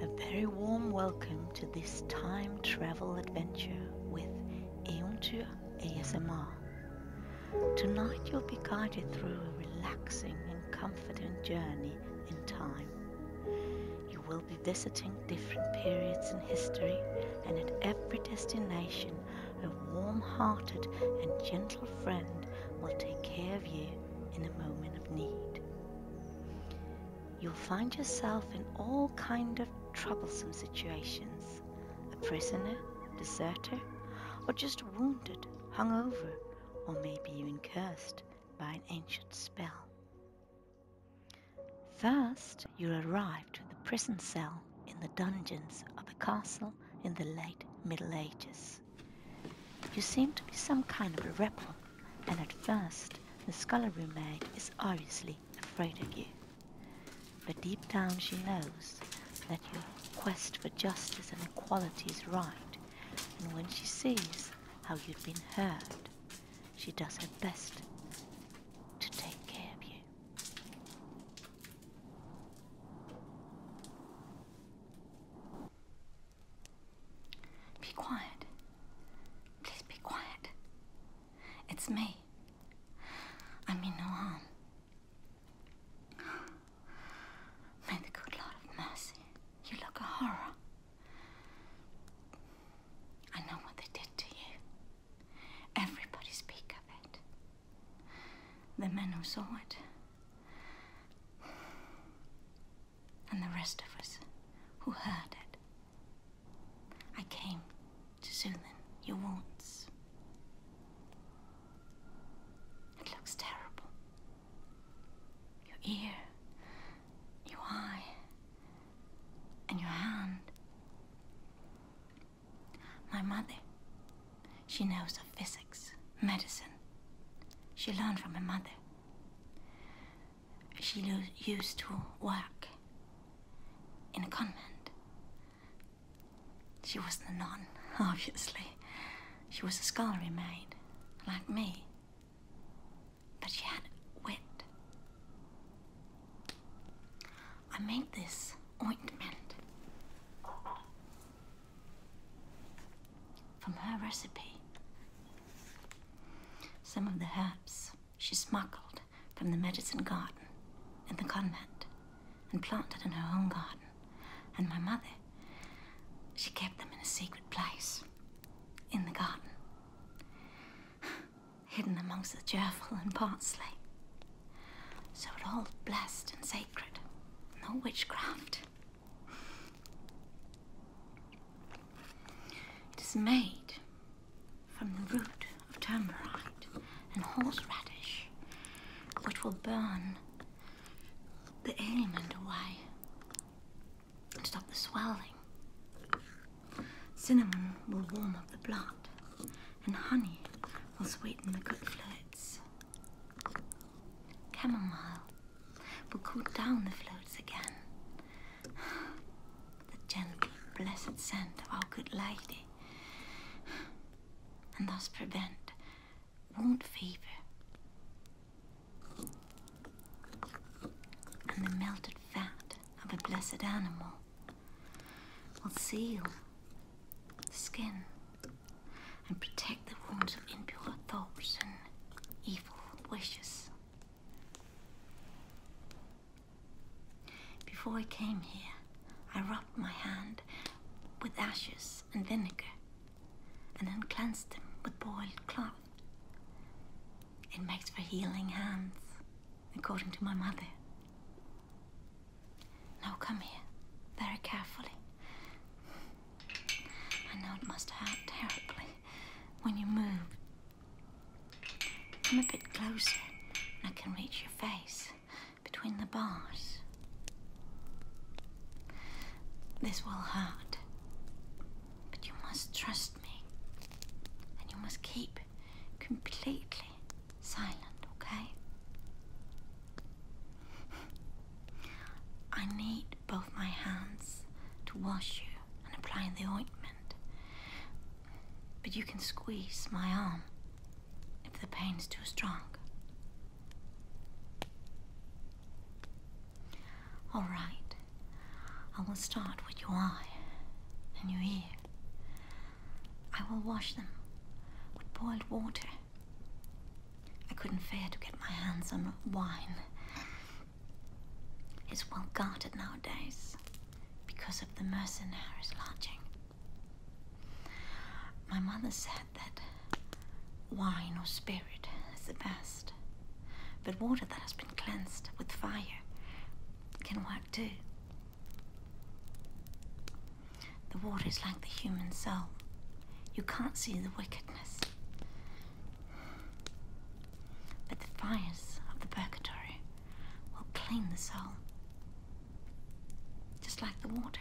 A very warm welcome to this time travel adventure with Eontu ASMR. Tonight you'll be guided through a relaxing and comforting journey in time. You will be visiting different periods in history and at every destination a warm-hearted and gentle friend will take care of you in a moment of need. You'll find yourself in all kind of troublesome situations, a prisoner, deserter, or just wounded, hungover, or maybe even cursed by an ancient spell. First, you arrive to the prison cell in the dungeons of a castle in the late Middle Ages. You seem to be some kind of a rebel, and at first the scullery maid is obviously afraid of you. But deep down she knows that your quest for justice and equality is right, and when she sees how you've been hurt, she does her best to take care of you. Be quiet. Please be quiet. It's me. I mean no harm. May the good Lord of mercy, you look a horror. I know what they did to you. Everybody speak of it. The men who saw it and the rest of us who heard it. I came to soothe your wounds. It looks terrible. Your ear, your eye, and your hand. My mother she knows of physics, medicine. She learned from her mother. She used to work in a convent. She was a nun, obviously. She was a scullery maid, like me. But she had wit. I made this ointment from her recipe. Some of the herbs she smuggled from the medicine garden in the convent and planted in her own garden. And my mother, she kept them in a secret place in the garden, hidden amongst the gerfil and parsley. So it all blessed and sacred, no witchcraft. It is made from the root of turmeric and horseradish, which will burn the ailment away and stop the swelling. Cinnamon will warm up the blood, and honey will sweeten the good fluids. Chamomile will cool down the floats again. The gentle, blessed scent of our good lady, and thus prevent wound fever and the melted fat of a blessed animal will seal the skin and protect the wounds of impure thoughts and evil wishes. Before I came here, I rubbed my hand with ashes and vinegar and then cleansed them with boiled cloth. It makes for healing hands, according to my mother. Now come here, very carefully. I know it must hurt terribly when you move. Come a bit closer I can reach your face between the bars. This will hurt, but you must trust me and you must keep completely silent, okay? I need both my hands to wash you and apply the ointment. But you can squeeze my arm if the pain is too strong. All right. I will start with your eye and your ear. I will wash them with boiled water I couldn't fare to get my hands on wine. It's well guarded nowadays because of the mercenaries lodging. My mother said that wine or spirit is the best, but water that has been cleansed with fire can work too. The water is like the human soul. You can't see the wickedness but the fires of the purgatory will clean the soul, just like the water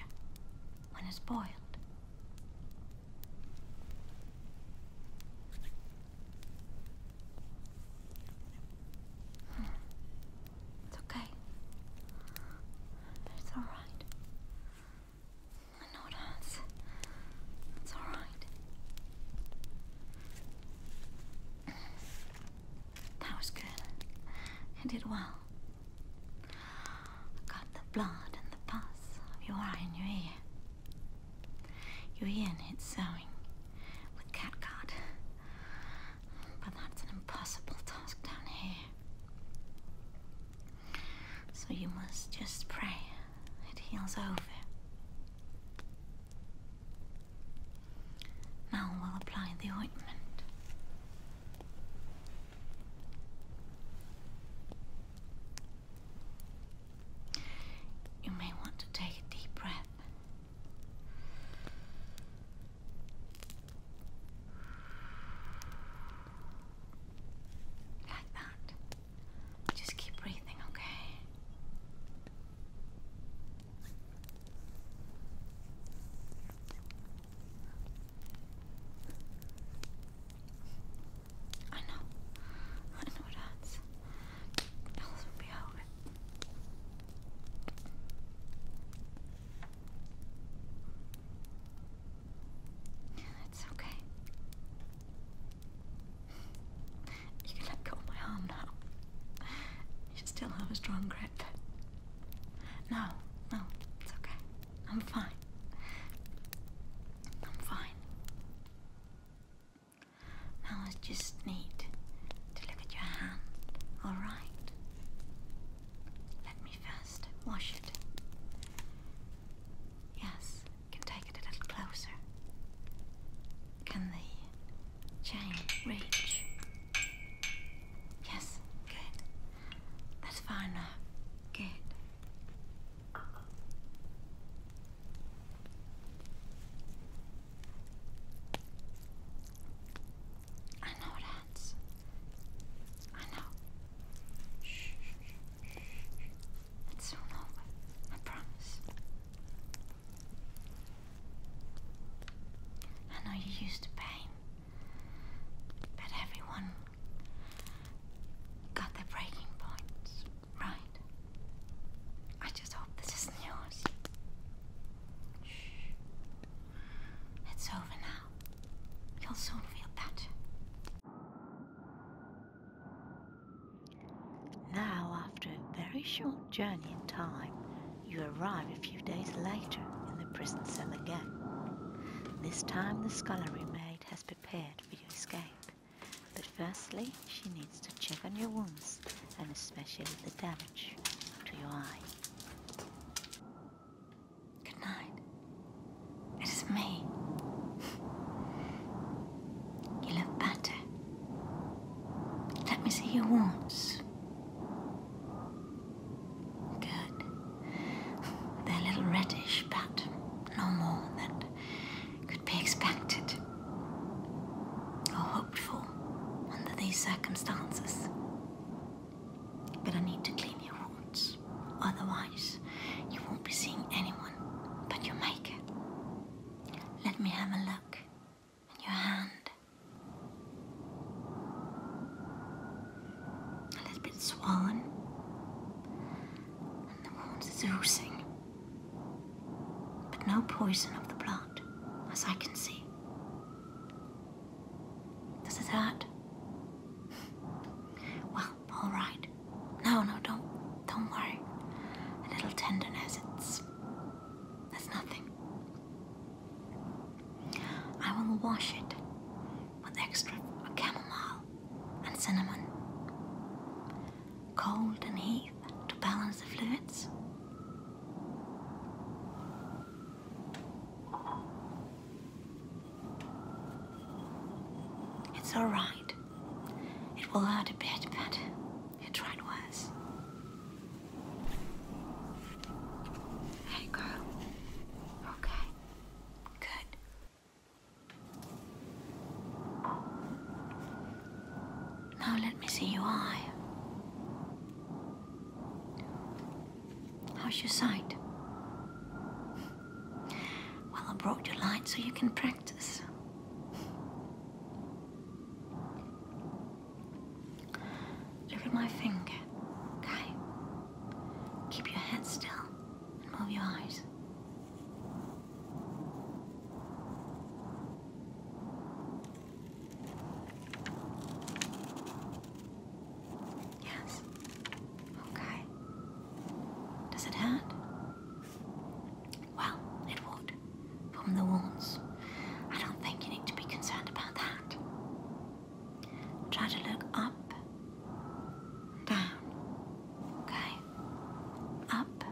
when it's boiled. It's okay. It's all right. I know it hurts. It's alright. That was good. I did well. I got the blood and the pus of your eye and your ear. Your ear needs sewing with catgut. But that's an impossible task down here. So you must just pray it heals over. Now we'll apply the ointment. You may want to take a deep breath. Like that. Just keep breathing, okay? I know. I know it hurts. Else would be over. It's okay. You can let go of my arm now. You still have a strong grip. No, no, it's okay. I'm fine. I'm fine. Now I just need to look at your hand, alright? Let me first wash it. Yes, can take it a little closer. Can the chain reach? Yes, good. That's fine now. Uh, good. I know that's. I know. Shh, It's over. I promise. I know you used to pain, but everyone got their breaking points, right? I just hope this isn't yours. Shh. It's over now. You'll soon feel better. Now, after a very short journey in time, you arrive a few days later in the prison cell again. This time the scullery maid has prepared for your escape, but firstly she needs to check on your wounds and especially the damage to your eye. Good night. It is me. you look better. Let me see your once. Good. They're a little reddish, but no more than could be expected or hoped for under these circumstances. But I need to clean your wounds. Otherwise, you won't be seeing anyone but your maker. Let me have a look at your hand. A little bit swollen. And the wounds is oozing. But no poison of the blood, as I can see. Does it hurt? well, Oh, all right. No, no, don't, don't worry. A little tenderness, it's, That's nothing. I will wash it with extra chamomile and cinnamon. Cold and heat to balance the fluids. It's alright. It will hurt a bit, but you tried worse. Hey, girl. Okay. Good. Now let me see your eye. How's your sight? Well, I brought you light so you can practice. Look at my finger, okay? Keep your head still and move your eyes. Yes. Okay. Does it hurt? Well, it would. From the wounds. I don't think you need to be concerned about that. Try to look up, down. Okay? Up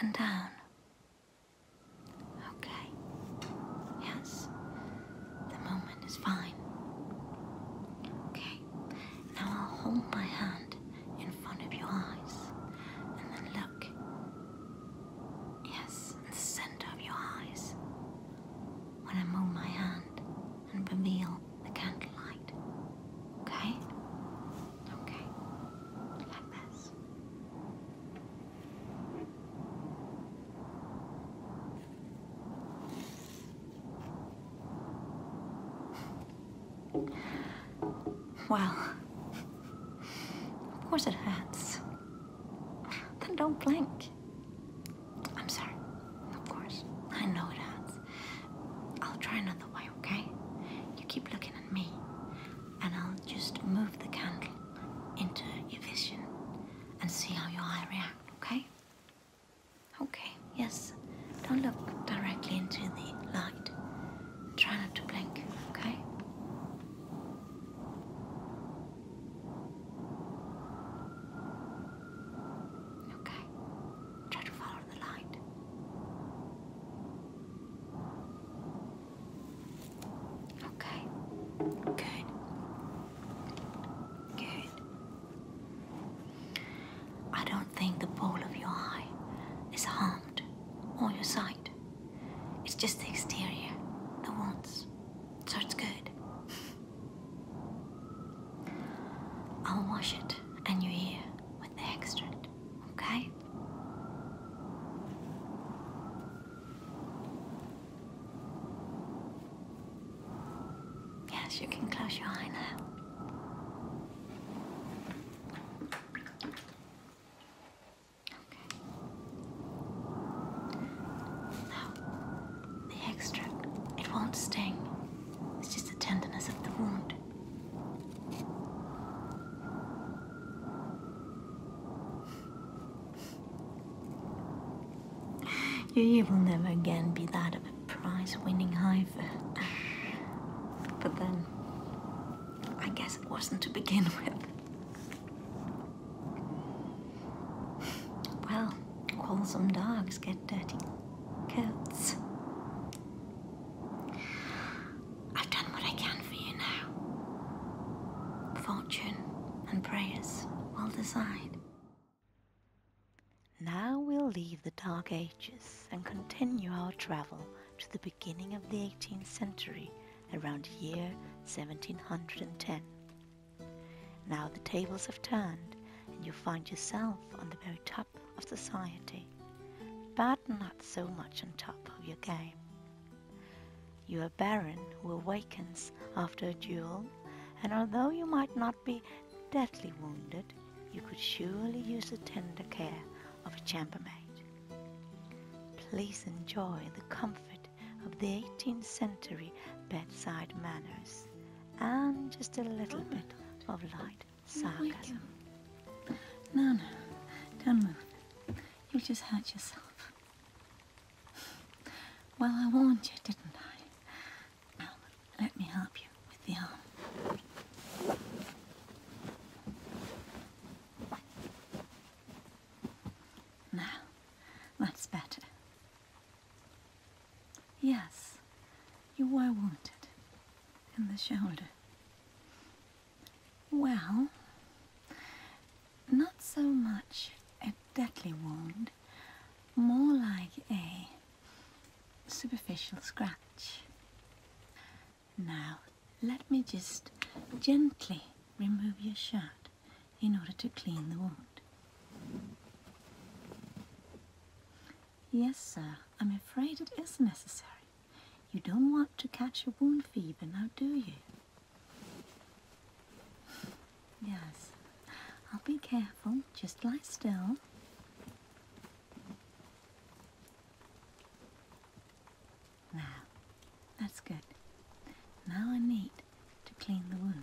and down. Okay. Yes. The moment is fine. Okay, now I'll hold my hand in front of your eyes and then look. Yes, the center of your eyes. When I move my hand and reveal the candlelight. Okay? Okay. Like this. Well, of course it hurts. Then don't blink. I'm sorry. Of course. I know it hurts. I'll try another way, okay? You keep looking at me, and I'll just move the candle into your vision and see how your eye reacts, okay? Okay, yes. Don't look directly into the light. Try not to blink, okay? Okay. Try to follow the light. Okay. Good. Good. I don't think the ball of your eye is harmed, or your sight. It's just the exterior, that wants. So it's good. I'll wash it and your ear with the extract, okay? Yes, you can close your eye now. Okay. Now, the extract, it won't sting. It's just the tenderness of the wound. You will never again be that of a prize winning heifer. But then, I guess it wasn't to begin with. Well, quarrelsome dogs get dirty coats. I've done what I can for you now. Fortune and prayers will decide. Now we'll leave the Dark Ages and continue our travel to the beginning of the 18th century around year 1710. Now the tables have turned and you find yourself on the very top of society, but not so much on top of your game. You are a baron who awakens after a duel, and although you might not be deadly wounded, you could surely use the tender care of a chambermaid. Please enjoy the comfort of the 18th century bedside manners and just a little bit of light sarcasm. No, no, don't move. You just hurt yourself. Well, I warned you, didn't I? let me help you with the arm. Now, that's better. Yes, you were wounded in the shoulder. Well, not so much a deadly wound more like a superficial scratch. Now, let me just gently remove your shirt in order to clean the wound. Yes, sir, I'm afraid it is necessary. You don't want to catch a wound fever now, do you? Yes. I'll be careful. Just lie still. Now, that's good. Now I need to clean the wound.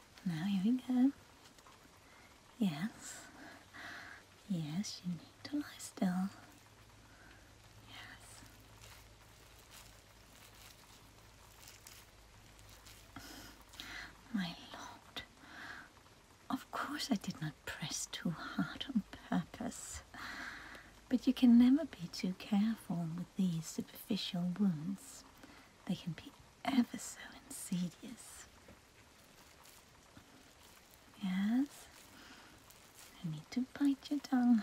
Now here we go. Yes. Yes, you need to lie still. Yes. My lord. Of course I did not press too hard on purpose. But you can never be too careful with these superficial wounds. They can be ever so insidious. Yes, I need to bite your tongue.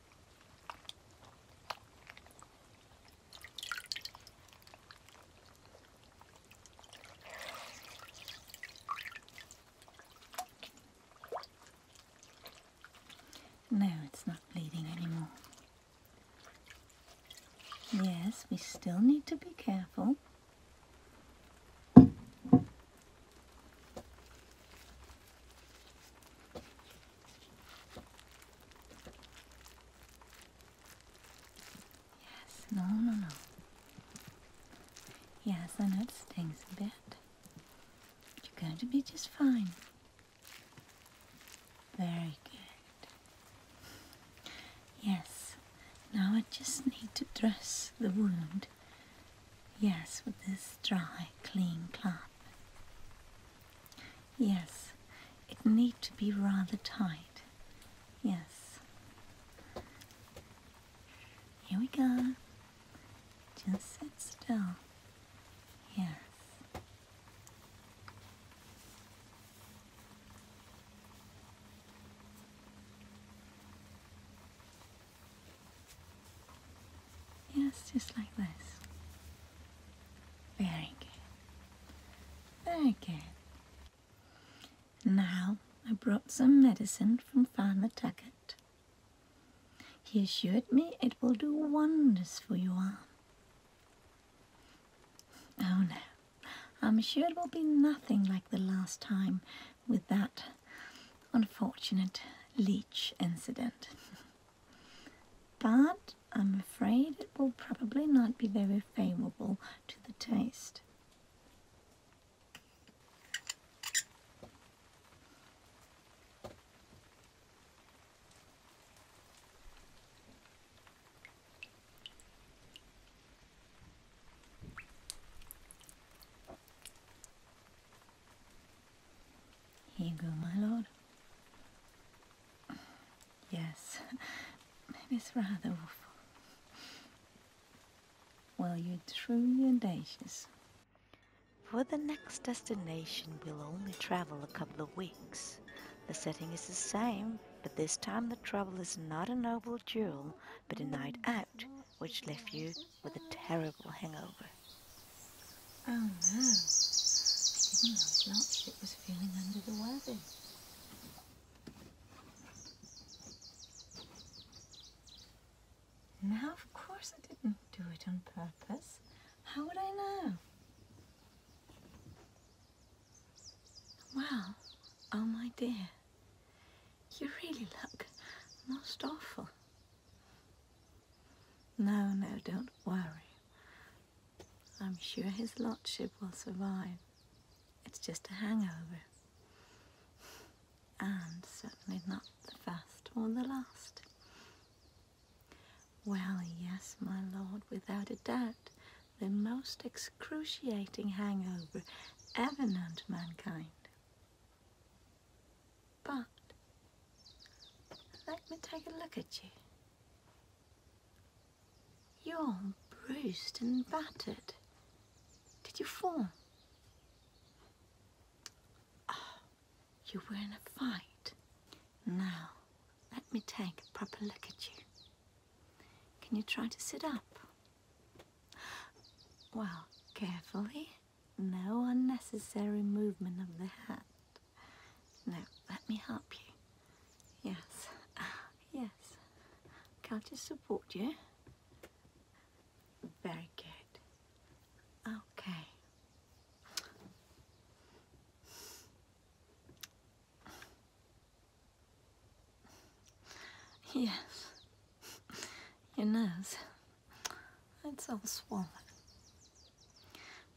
No, it's not bleeding anymore. Yes, we still need to be careful. Yes, no, no, no. Yes, I know it stings a bit. But you're going to be just fine. Very good. Yes, now I just need to dress the wound. Yes, with this dry, clean cloth. Yes, it need to be rather tight. Yes. Here we go. Just sit still. Yes. Yes, just like this. Very good. Very good. Now, I brought some medicine from Farmer Tuckett. He assured me it will do wonders for your arm. Oh no, I'm sure it will be nothing like the last time with that unfortunate leech incident. but I'm afraid it will probably not be very favourable to the taste. Here you go, my lord. Yes, maybe it's rather awful. Well, you're truly audacious. For the next destination, we'll only travel a couple of weeks. The setting is the same, but this time the trouble is not a noble duel, but a night out, which left you with a terrible hangover. Oh no, even last night it was feeling under the weather. Now, of course, I didn't do it on purpose. How would I know? Well, oh my dear, you really look most awful. No, no, don't worry. I'm sure his lordship will survive. It's just a hangover. And certainly not the first or the last. Well, yes, my lord, without a doubt, the most excruciating hangover ever known to mankind. But let me take a look at you. You're bruised and battered. Did you fall? Ah, you were in a fight. Now, let me take a proper look at you. Can you try to sit up? Well, carefully. No unnecessary movement of the head. No, let me help you. Yes, uh, yes. Can I just support you? Very good. Okay. Yes. Your nose. It's all swollen.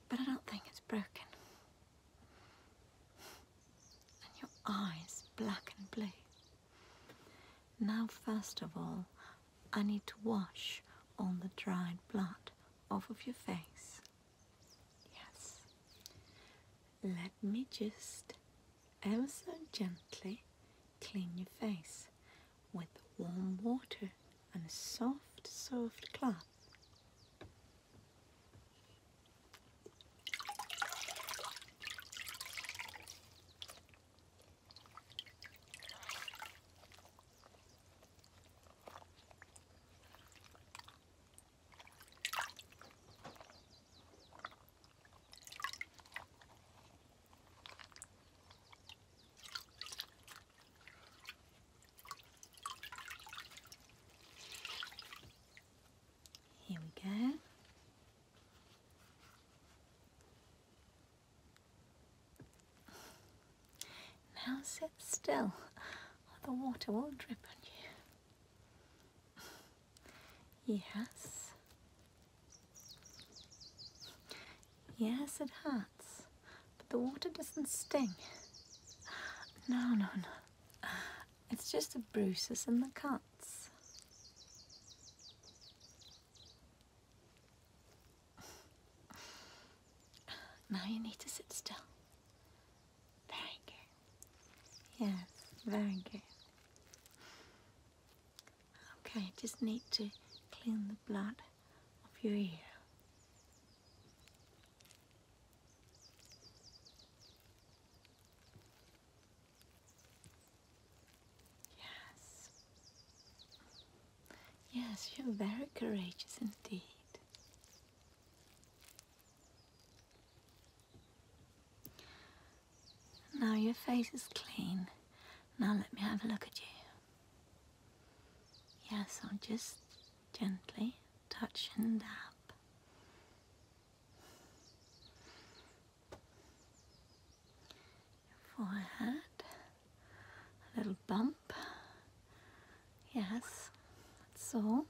But I don't think it's broken. And your eyes, black and blue. Now, first of all, I need to wash all the dried blood off of your face. Yes. Let me just ever so gently clean your face with warm water and a soft, soft clap. Here we go. Now sit still, or the water will drip on you. Yes. Yes, it hurts, but the water doesn't sting. No, no, no. It's just the bruises and the cuts. Now you need to sit still. Very good. Yes, very good. Okay, just need to clean the blood of your ear. Yes. Yes, you're very courageous indeed. Now your face is clean. Now let me have a look at you. Yes, i am just gently touching, and dab. forehead, a little bump. Yes, that's all.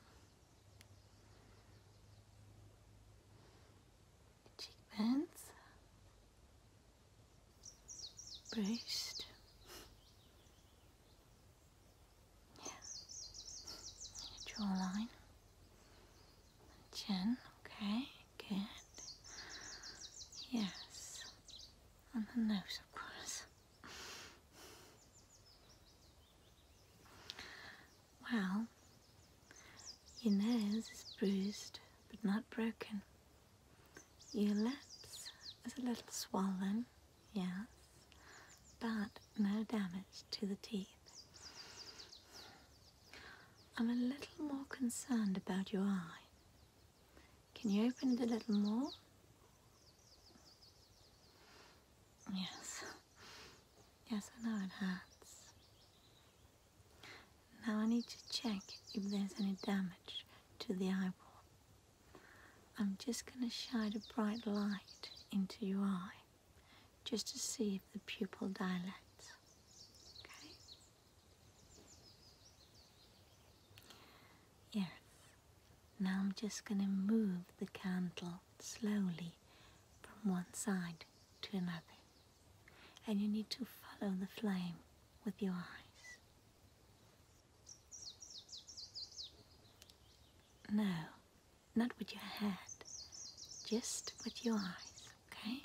Cheekbones, braced. Yeah. Your jawline. Chin. Okay. Good. Yes. And the nose, of course. Well, your nose is bruised but not broken. Your lips is a little swollen, yes, but no damage to the teeth. I'm a little more concerned about your eye. Can you open it a little more? Yes. Yes, I know it hurts. Now I need to check if there's any damage to the eyeball. I'm just going to shine a bright light into your eye just to see if the pupil dilates. Okay? Yes. Now I'm just going to move the candle slowly from one side to another. And you need to follow the flame with your eyes. No, not with your head, just with your eyes, okay?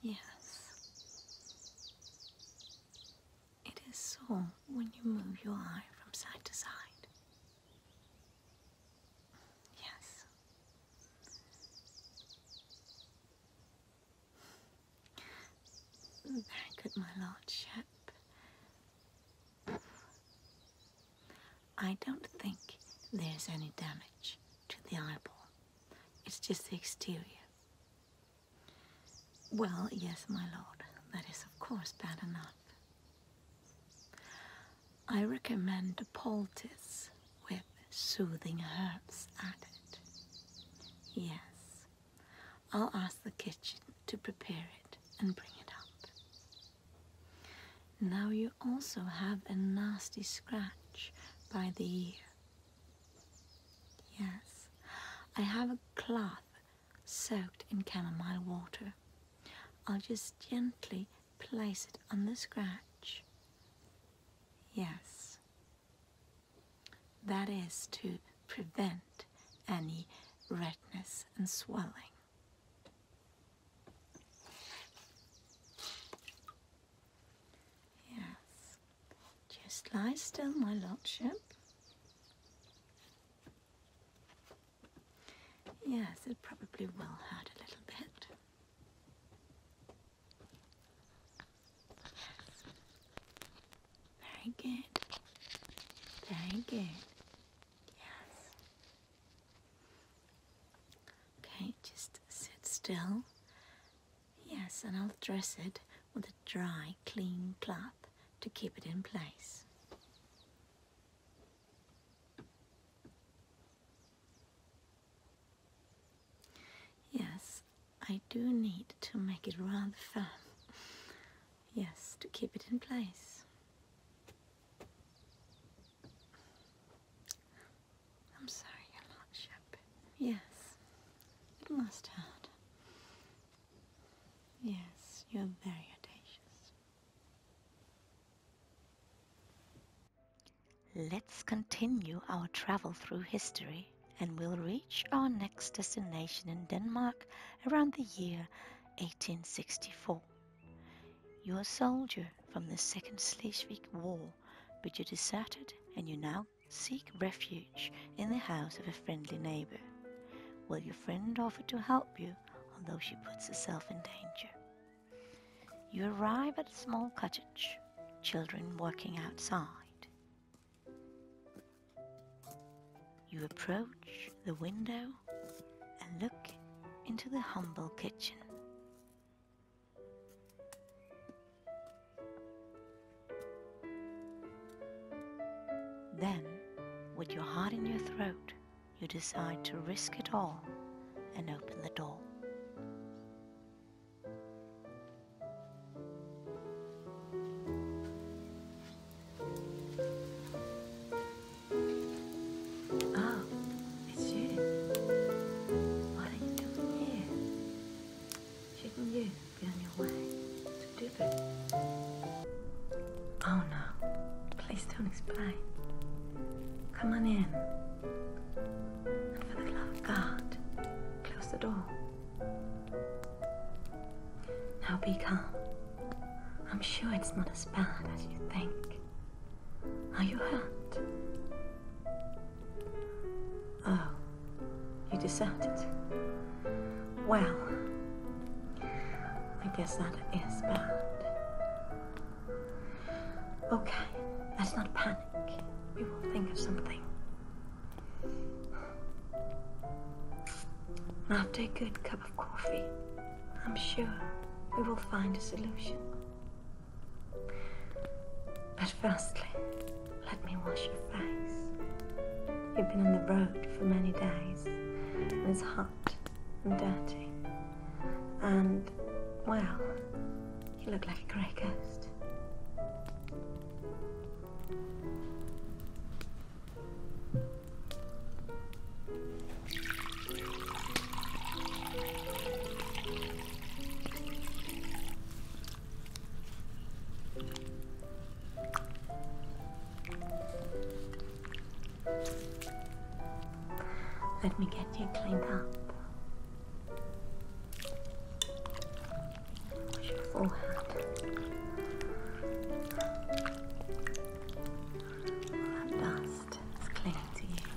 Yes. It is so when you move your eye from side to side. Yes. Very good, my lordship. I don't think there's any damage to the eyeball. It's just the exterior. Well, yes, my lord, that is of course bad enough. I recommend a poultice with with soothing herbs added. Yes, I'll ask the kitchen to prepare it and bring it up. Now you also have a nasty scratch by the ear. Yes, I have a cloth soaked in chamomile water. I'll just gently place it on the scratch. Yes, that is to prevent any redness and swelling. Yes, just lie still, my lordship. Yes, it probably will hurt a little bit. Very good. Very good. Yes. Okay, just sit still. Yes, and I'll dress it with a dry, clean cloth to keep it in place. Yes, I do need to make it rather firm. Yes, to keep it in place. I'm sorry, Your Lordship. Yes, it must hurt. Yes, you're very audacious. Let's continue our travel through history and will reach our next destination in Denmark around the year 1864. You're a soldier from the Second Schleswig War, but you deserted and you now seek refuge in the house of a friendly neighbor. Will your friend offer to help you, although she puts herself in danger. You arrive at a small cottage, children working outside. You approach the window and look into the humble kitchen. Then, with your heart in your throat, you decide to risk it all and open the door. Oh, it's you. What are you doing here? Shouldn't you be your way to Oh no, please don't explain. Come on in. And for the love of God, close the door. Now be calm. I'm sure it's not as bad as you think. Are you hurt? Oh, you deserted. Well, I guess that is bad. Okay, let's not panic. We will think of something. After a good cup of coffee, I'm sure we will find a solution. But firstly, let me wash your face. You've been on the road for many days, and it's hot and dirty. And, well, you look like a grey ghost. Let me get you cleaned up your forehead. that dust is clinging to you.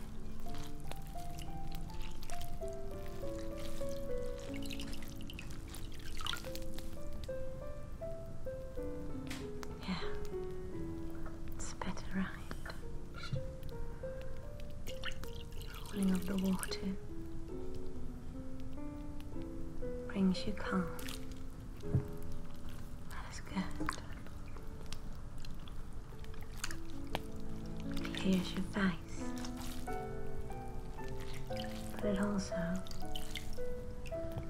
Yeah, it's better, right? Cooling of the water brings you calm. That is good. clears your face, but it also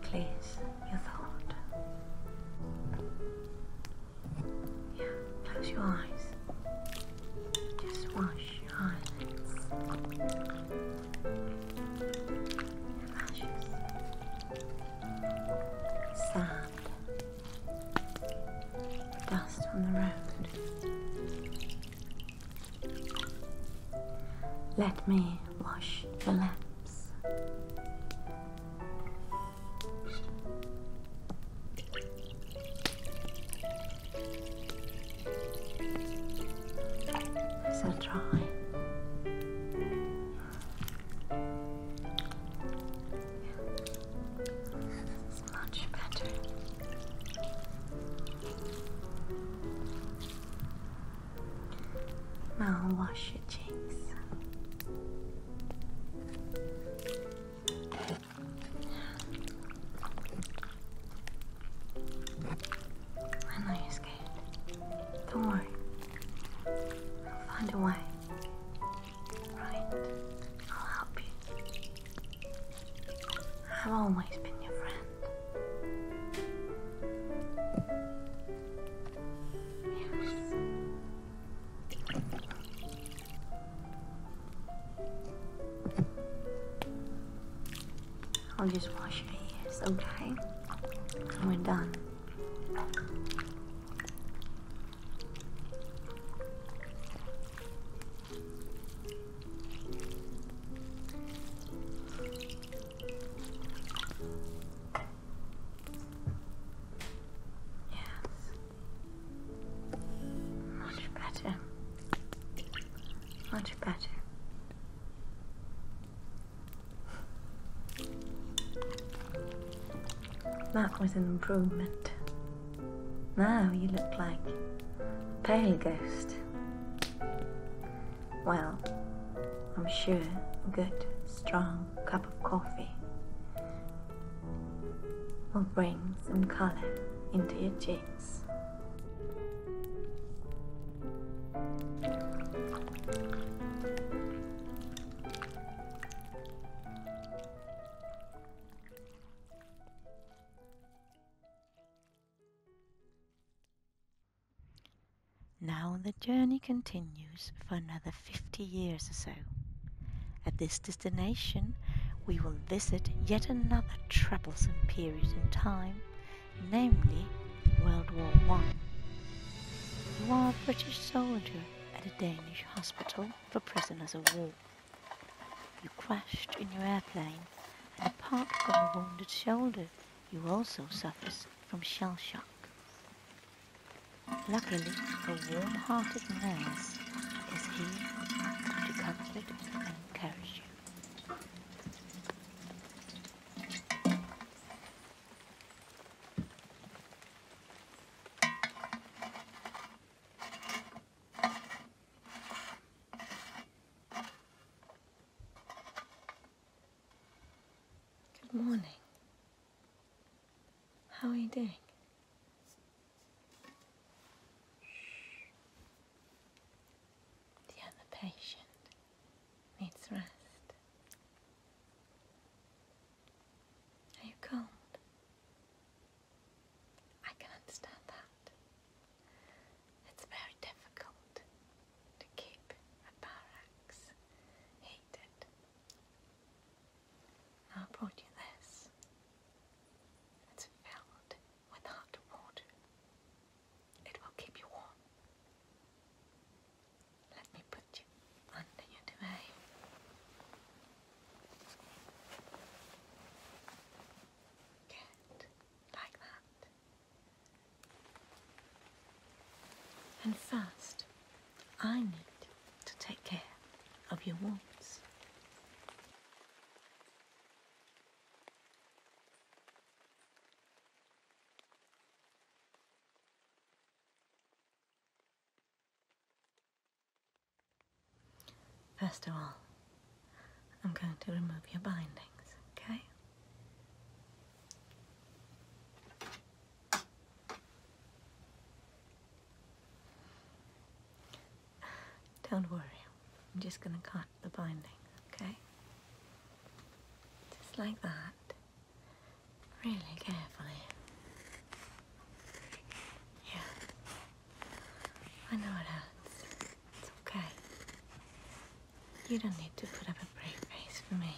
clears your thought. Yeah, close your eyes. Just wash your eyelids and lashes. Sand, dust on the road. Let me wash your lamps. So dry. It's much better. Now wash your cheeks. I know you're scared. Don't worry. I'll find a way. Right. I'll help you. I've always been your friend. Yes. I'll just wash your ears, okay? And we're done. Yes. Much better. Much better. That was an improvement. Now you look like a pale ghost. Well, I'm sure a good, strong cup of coffee will bring some colour into your cheeks. Now the journey continues for another 50 years or so. At this destination, we will visit yet another troublesome period in time, namely World War One. You are a British soldier at a Danish hospital for prisoners of war. You crashed in your airplane, and apart from a wounded shoulder, you also suffer from shell shock. Luckily, a warm-hearted nurse is here to comfort you. I you. Good morning. How are you doing? The other patient needs rest. Are you cold? I can understand that. It's very difficult to keep a barracks heated. I brought you this. It's filled with hot water. It will keep you warm. Let me put you under your duvet. Good, like that. And first, I need to take care of your wounds. First of all, I'm going to remove your bindings, okay? Don't worry, I'm just going to cut the binding, okay? Just like that, really carefully. Yeah, I know it hurts. It's okay. You don't need to put up a brave face for me.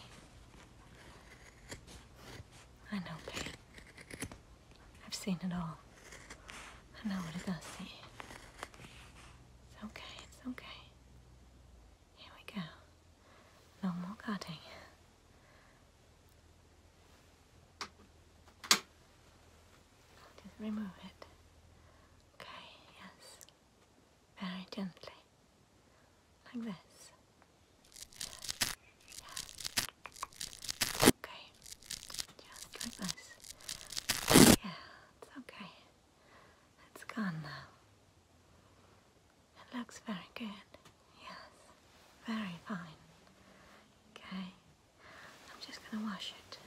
I know, Kate. I've seen it all. I know what it does It's okay, it's okay. Here we go. No more cutting. remove it. Okay, yes. Very gently. Like this. Okay, just like this. Yeah, it's okay. It's gone now. It looks very good. Yes, very fine. Okay, I'm just gonna wash it.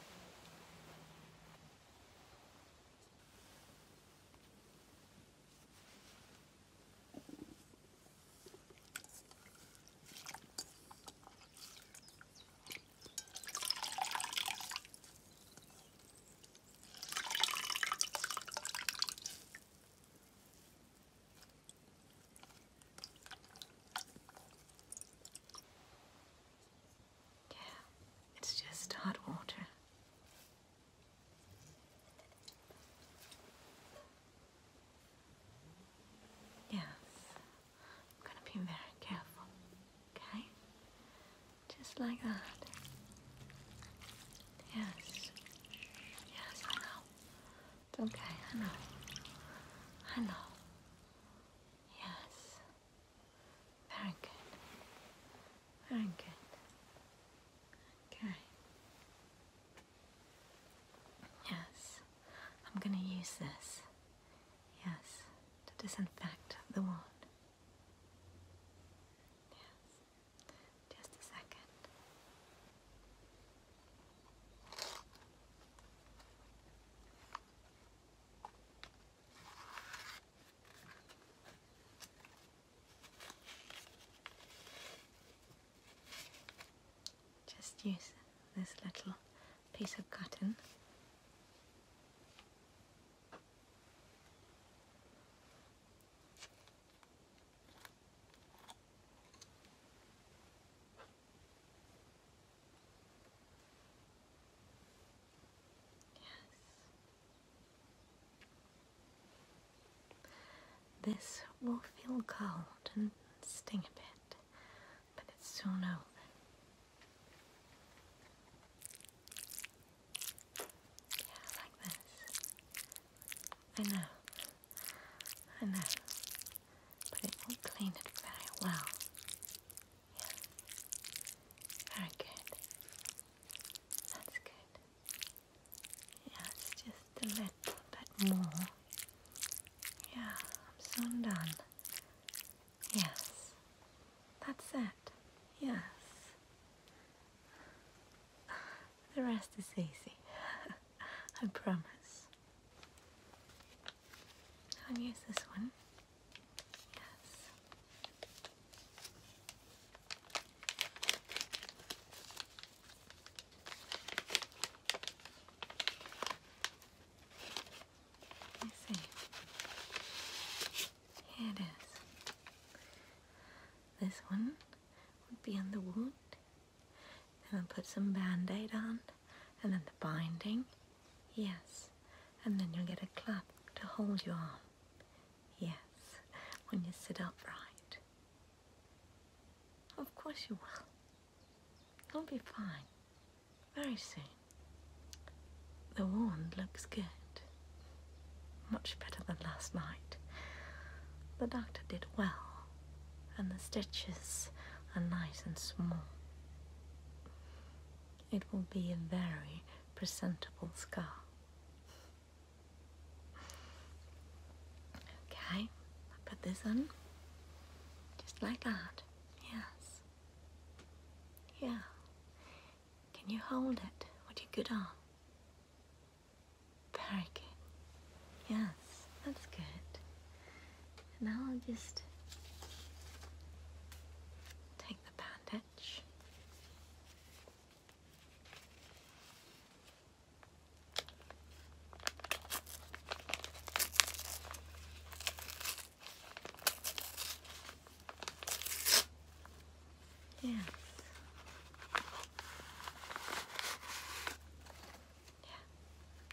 Yeah, it's just hot water. Yes, I'm going to be very careful, okay? Just like that. Yes. Yes, I know. It's okay, I know. I know. Yes. Very good. Very good. Okay. Yes. I'm going to use this. Yes, to disinfect the wound. Yes, just a second. Just use this little piece of cotton. Yes. This will feel cold and sting a bit, but it's so no. Yeah, like this. I know. I know. But it will clean it very well. Yeah. Very good. That's good. Yeah, it's just a little bit more. Yeah, I'm so done. Yes. That's it. Yes. The rest is easy. I promise. I'll use this one. Yes. I see. Here it is. This one would be on the wound. And then put some band-aid on. And then the binding. Yes. And then you'll get a club to hold your arm. Yes. When you sit upright. Of course you will. He'll be fine. Very soon. The wound looks good. Much better than last night. The doctor did well, and the stitches are nice and small. It will be a very presentable scar. Okay, I put this on just like that. Yes. Yeah. Can you hold it with your good arm? Very Yes, that's good. And now I'll just take the bandage. Yes. Yeah.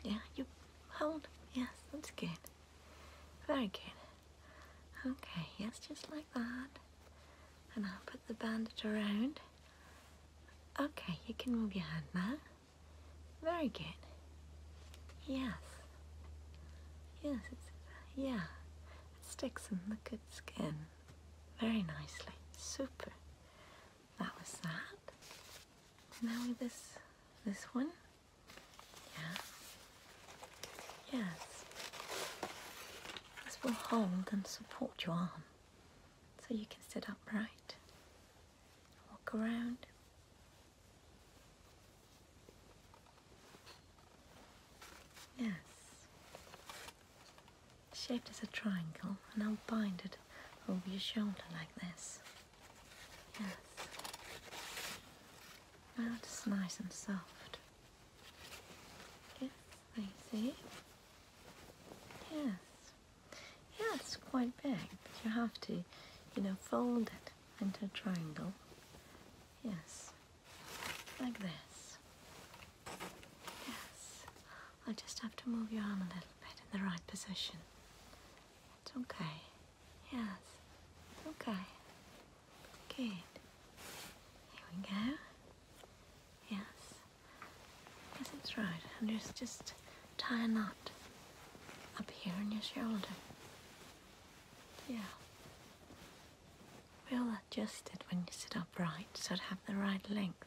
Yeah, you hold. Yes, that's good. Very good. Okay, yes, just like that. And I'll put the bandage around. Okay, you can move your hand now. Very good. Yes. Yes, it's, yeah. It sticks in the good skin. Very nicely. Super. That was that. Now with this, this one. Yeah. Yes. This will hold and support your arm. So you can sit upright. Walk around. Yes. Shaped as a triangle, and I'll bind it over your shoulder like this. Yes. Now it's nice and soft. Yes, I see. Yes. Yeah, it's quite big, but you have to, you know, fold it into a triangle. Yes, like this. Yes, I'll just have to move your arm a little bit in the right position. It's okay. Yes, okay. Good. Here we go. Yes. Yes, it's right. I'm just, just tie a knot up here on your shoulder. Yeah. We'll adjust it when you sit upright so it'll have the right length.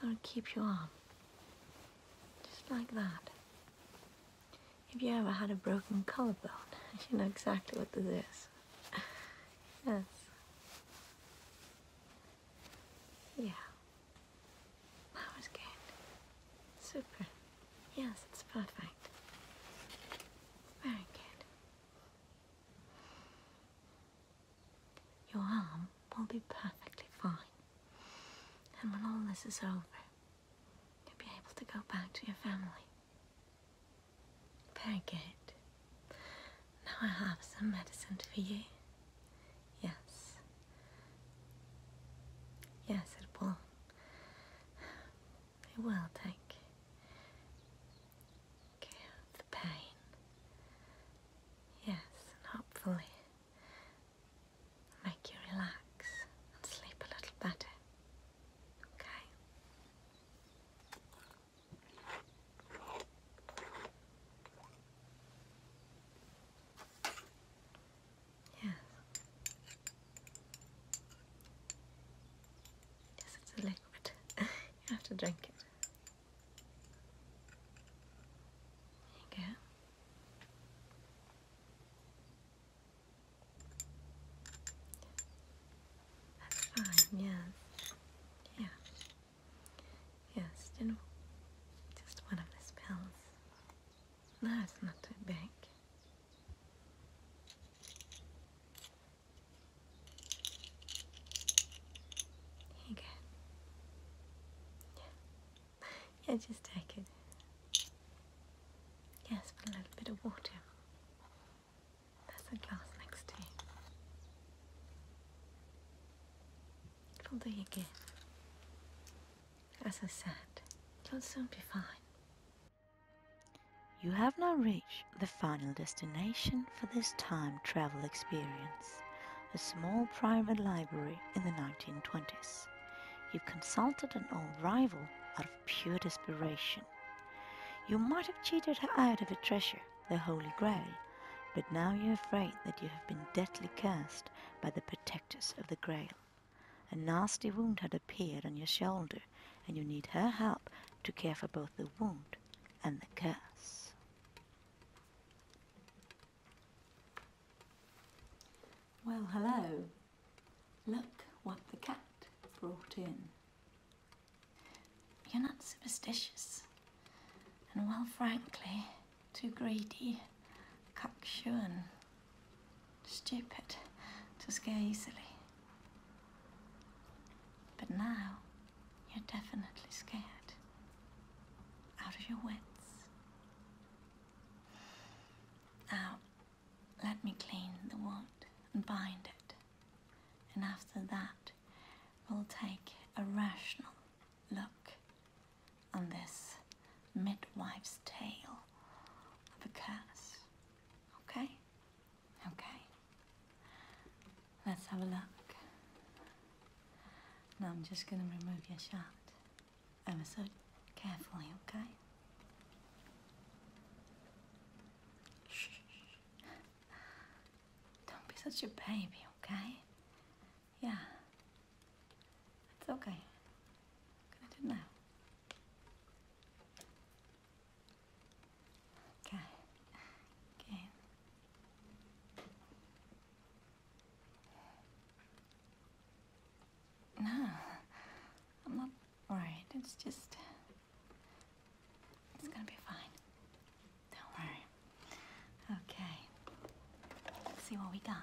So it'll keep your arm. Just like that. If you ever had a broken collarbone, you know exactly what this is. yes. Yeah. That was good. Super. Yes, it's perfect. Very good. Your arm will be perfectly fine. And when all this is over, you'll be able to go back to your family. Very good. Now I have some medicine for you. Yes. Yes, it will. It will take care of the pain. Yes, and hopefully make you relax and sleep a little better. Okay? Yes. Yes, it's a liquid. you have to drink it. There you go. That's fine, yes. Yeah. Yes, you know, just one of these pills. No, it's not too big. Here you go. Yeah, just take it. Yes, put a little bit of water. There's a glass next to you. It'll do as I said, you'll soon be fine. You have now reached the final destination for this time travel experience, a small private library in the 1920s. You have consulted an old rival out of pure desperation. You might have cheated her out of a treasure, the Holy Grail, but now you're afraid that you have been deathly cursed by the protectors of the Grail. A nasty wound had appeared on your shoulder, and you need her help to care for both the wound and the curse. Well, hello. Look what the cat brought in. You're not superstitious, and well, frankly, too greedy, cocksure stupid to scare easily. But now you're definitely scared. Out of your wits. Now, let me clean the wound and bind it. And after that, we'll take a rational look on this midwife's tale of a curse. Okay? Okay. Let's have a look. Now I'm just going to remove your shirt. ever so carefully, okay? Shh. Don't be such a baby, okay? Yeah. It's okay. I'm gonna Okay. Okay. No, I'm not worried. It's just. It's gonna be fine. Don't worry. Okay. see what we got.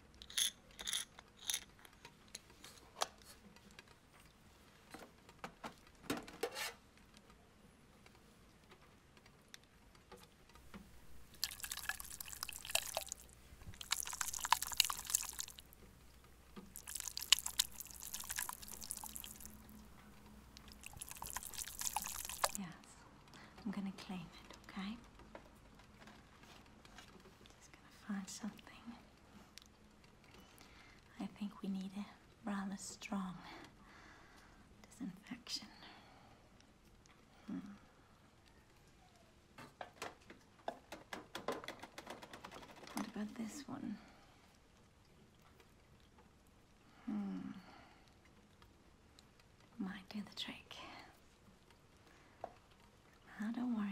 Yes, I'm gonna claim it, okay? Just gonna find something. I think we need a rather strong disinfection. Hmm. What about this one? Hmm might do the trick. Oh, don't worry.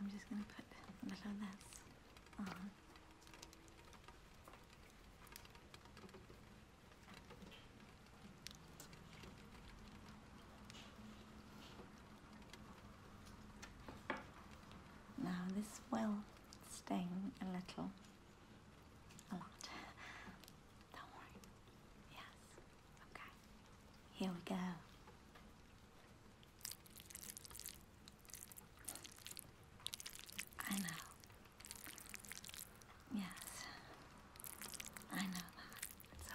I'm just going to put a little of this on. Now this will sting a little, a lot. Don't worry. Yes. Okay. Here we go. I know. Yes. I know that. It's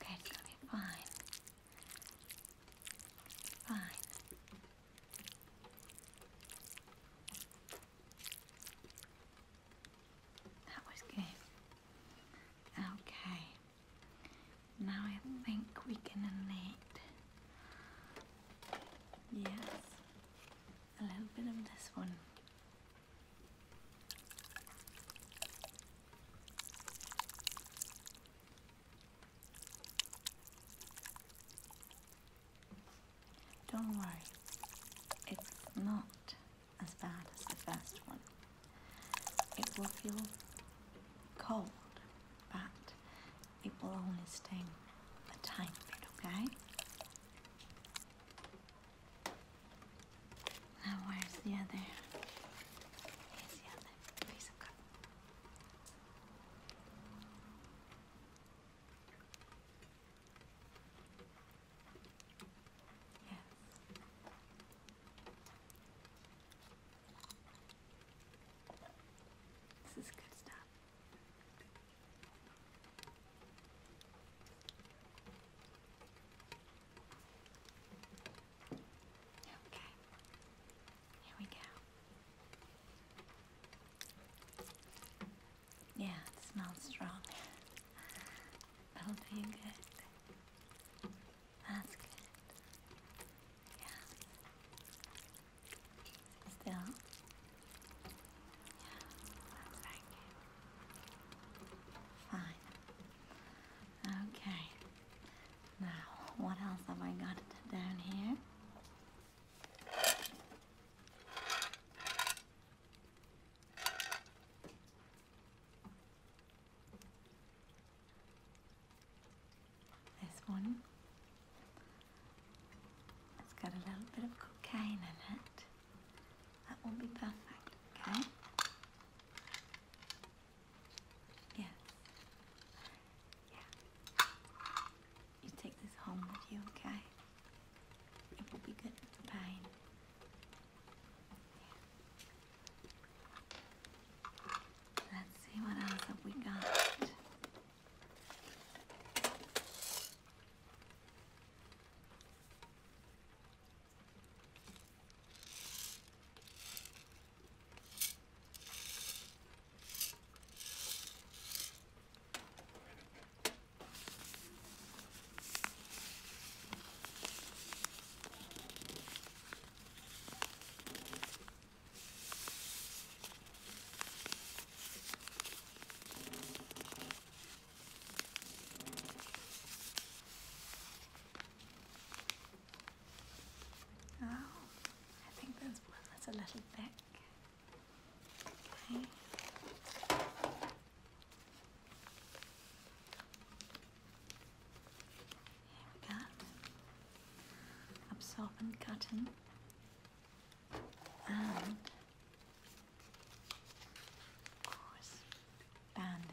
okay. it's gonna be fine. Fine. That was good. Okay. Now I think we can knit. Yes, a little bit of this one. Don't worry, it's not as bad as the first one. It will feel cold, but it will only sting a tiny bit, okay? Now where's the other? Here's the other piece of cotton. Yes. This is good stuff. Okay, here we go. Yeah, it smells strong. That'll you good. That's good. Yeah. Still. Yeah. That's very Fine. Okay. Now, what else have I got down here? This one, it's got a little bit of cocaine in it. That will be perfect, okay? Yes. Yeah. You take this home with you, okay? It will be good for Let's see what else have we got. Oh, I think there's one that's a little thick. Here we go. Absorbent cotton and of course band-aid.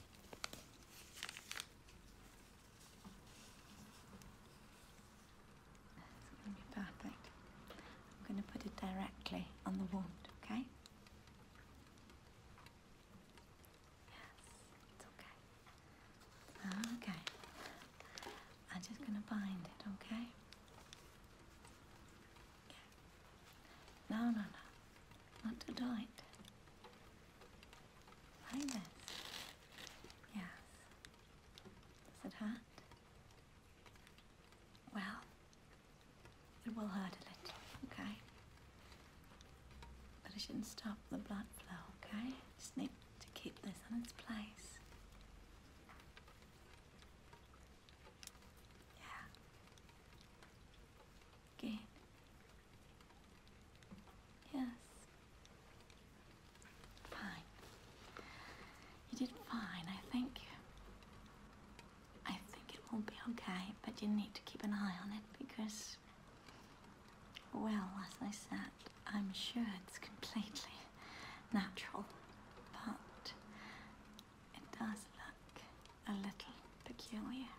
It's going to be perfect. I'm going to put it directly on the wound, okay? Yes, it's okay. Okay. I'm just going to bind it, okay? No, no, no. Not to do it. Like this. Yes. Does it hurt? Well, it will hurt a little, okay? But it shouldn't stop the blood flow, okay? Just need to keep this in its place. Yeah. Gain. Yes. Fine. You did fine, I think. I think it will be okay, but you need to keep an eye on it because, well, as I said, I'm sure it's completely natural, but it does look a little peculiar.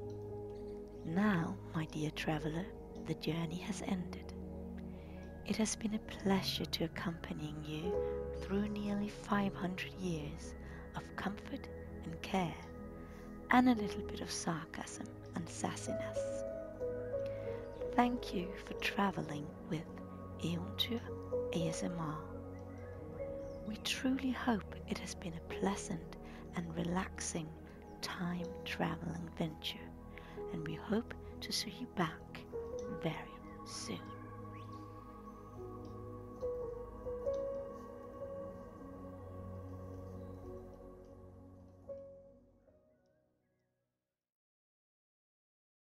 now, my dear traveller, the journey has ended. It has been a pleasure to accompanying you through nearly 500 years of comfort and care, and a little bit of sarcasm and sassiness. Thank you for traveling with Eontyr ASMR. We truly hope it has been a pleasant and relaxing time traveling venture, and we hope to see you back very soon.